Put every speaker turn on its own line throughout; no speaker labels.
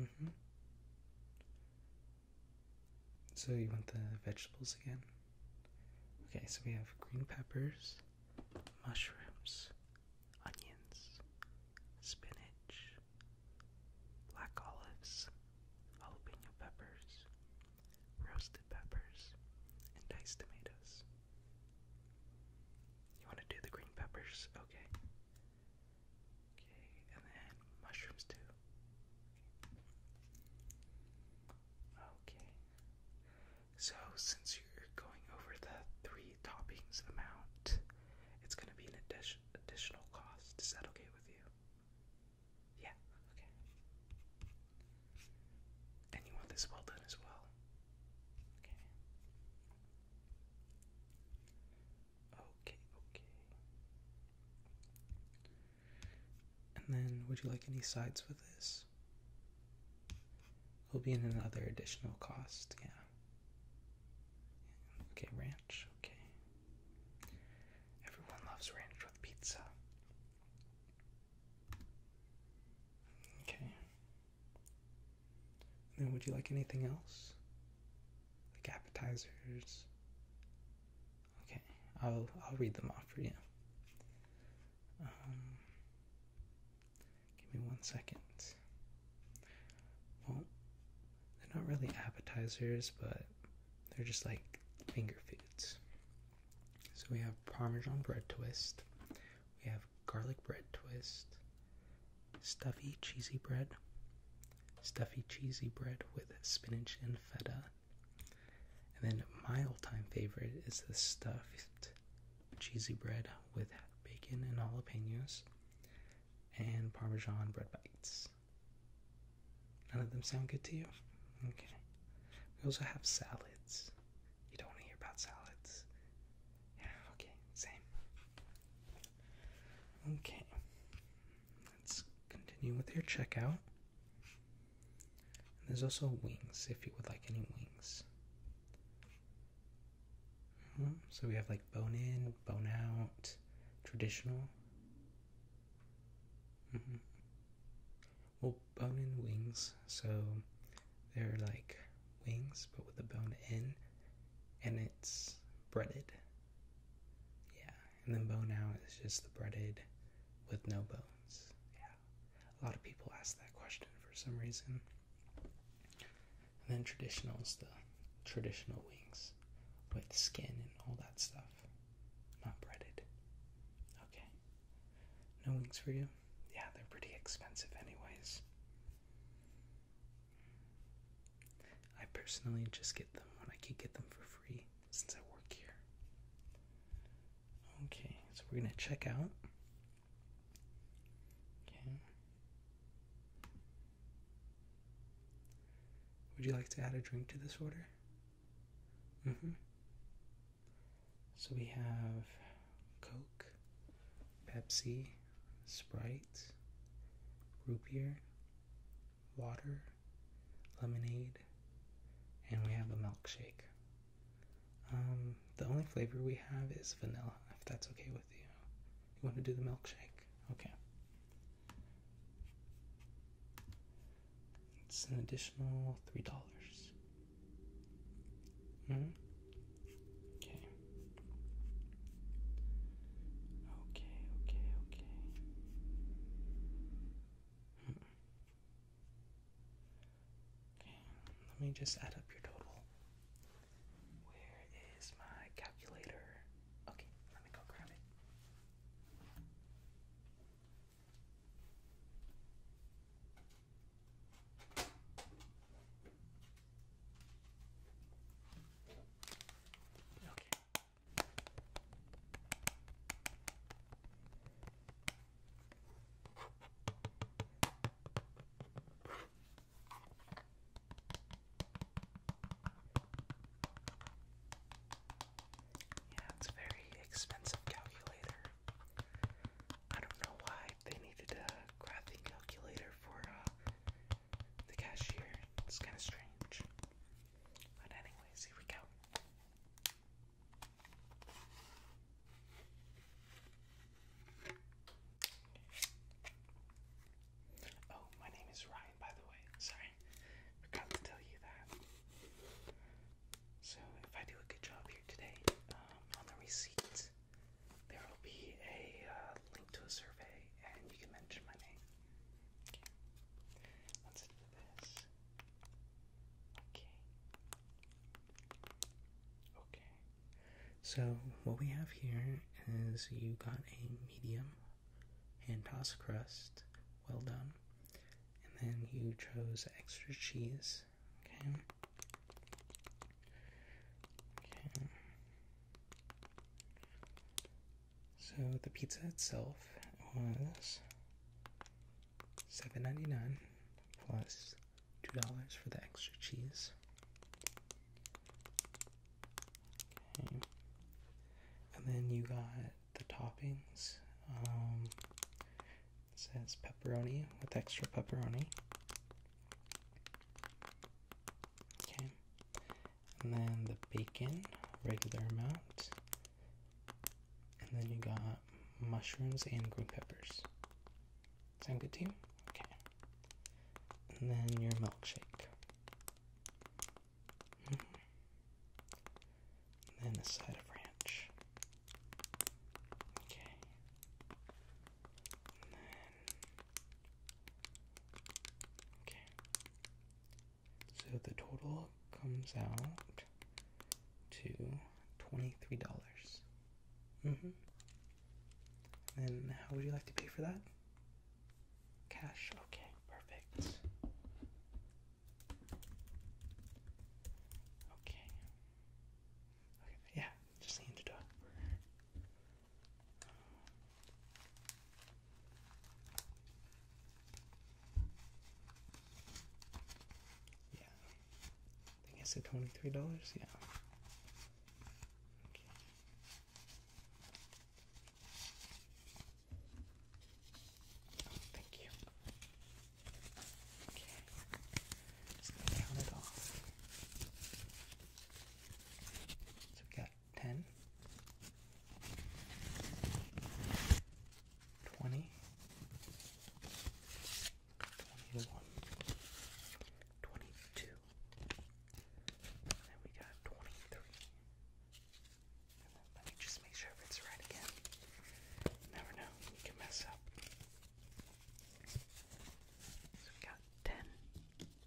Mm-hmm. So you want the vegetables again? Okay, so we have green peppers, mushrooms, onions, spinach, black olives, jalapeno peppers, roasted peppers, and diced tomatoes. You want to do the green peppers? Okay. Okay, and then mushrooms too. Okay. So, since you're going over the three toppings amount, it's going to be an addi additional cost. Is that okay with you? Yeah, okay. And you want this well done as well? Okay. Okay, okay. And then, would you like any sides with this? It'll be in another additional cost, yeah. Okay, ranch, okay. Everyone loves ranch with pizza. Okay. And then would you like anything else? Like appetizers? Okay, I'll I'll read them off for you. Um, give me one second. Well, they're not really appetizers, but they're just like finger foods. So we have Parmesan bread twist, we have garlic bread twist, stuffy cheesy bread, stuffy cheesy bread with spinach and feta. And then my all-time favorite is the stuffed cheesy bread with bacon and jalapenos and parmesan bread bites. None of them sound good to you? Okay. We also have salads. You don't want to hear about salads. Yeah, okay, same. Okay, let's continue with your checkout. there's also wings if you would like any wings. Mm-hmm, so we have like bone in, bone out, traditional. Mm-hmm. Well, bone in wings, so they're like wings, but with the bone in, and it's breaded. Yeah, and then bone out is just the breaded with no bones. Yeah, a lot of people ask that question for some reason. And then traditional is the traditional wings with skin and all that stuff, not breaded. Okay, no wings for you? Yeah, they're pretty expensive, anyways. I personally just get them when I can get them for free since I work here. Okay, so we're gonna check out. Okay. Would you like to add a drink to this order? Mm-hmm. So we have Coke, Pepsi, Sprite, root beer, water, lemonade, and we have a milkshake. Um, the only flavor we have is vanilla, if that's okay with you. You want to do the milkshake? Okay. It's an additional $3. -hmm. Okay. Okay, okay, okay. let me just add up your total. Where is my calculator? Okay, let me go grab it. Okay. Yeah, it's a very expensive calculator. I don't know why they needed a graphing calculator for uh, the cashier. It's kind of strange. But, anyways, here we go. Oh, my name is Ryan, by the way. Sorry, forgot to tell you that. So, if I do a good job here today um, on the receipt, there will be a uh, link to a survey, and you can mention my name. Okay. Okay. Okay. So what we have here is you got a medium hand toss crust, well done, and then you chose extra cheese. Okay. So the pizza itself was $7.99 plus $2 for the extra cheese. And then you got the toppings. Um, it says pepperoni with extra pepperoni. Okay. And then the bacon, regular amount. And then you got mushrooms and green peppers. Sound good to you? Okay. And then your milkshake. Mm-hmm. And then a side of ranch. Okay. And then Okay. So the total comes out to $23. hmm And how would you like to pay for that? Cash. Okay, perfect. Okay yeah, just lean the dog. Yeah. I think I said $23, yeah. thank you. Okay. Just count it off. So we got 10, 20, 21, 22, then we got 23. let me just make sure if it's right again. never know, you can mess up. So we got 10, Okay,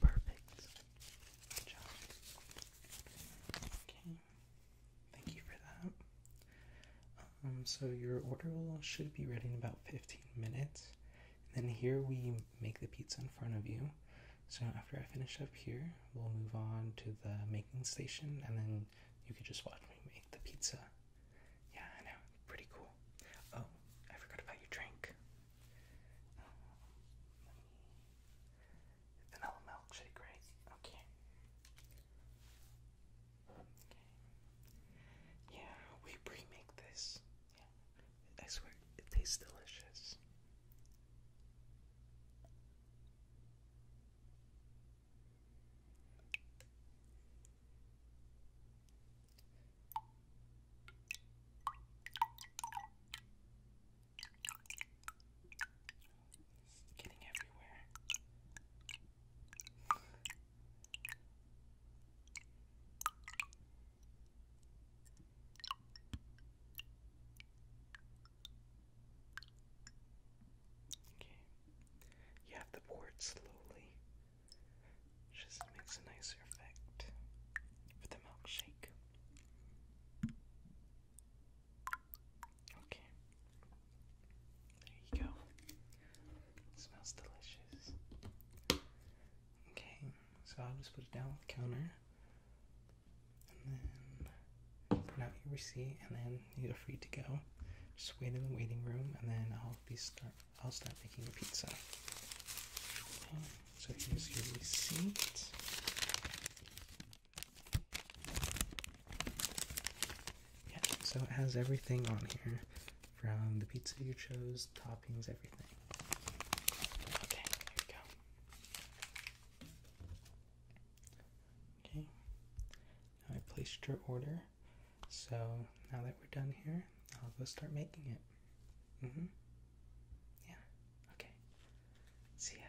perfect. Good job. Okay. Thank you for that. Um, um, so your order will should be ready in about 15 minutes. And then here we make the pizza in front of you. So after I finish up here, we'll move on to the making station, and then you could just watch me make the pizza. Yeah, I know, pretty cool. Oh, I forgot about your drink. Vanilla milkshake, right? Okay. Yeah, we pre this. I swear, it tastes delicious. getting everywhere. Okay. You have to pour it slowly. Just makes a nicer effect for the milkshake. Okay. There you go. smells delicious. Okay, so I'll just put it down on the counter. And then print out your receipt and then you're free to go. Just wait in the waiting room and then I'll be start I'll start making the pizza. Okay, so here's your receipt. Yeah, so it has everything on here from the pizza you chose, toppings, everything. Okay, here we go. Okay, I placed your order. So now that we're done here, I'll go start making it. Mm hmm. Yeah, okay. See ya.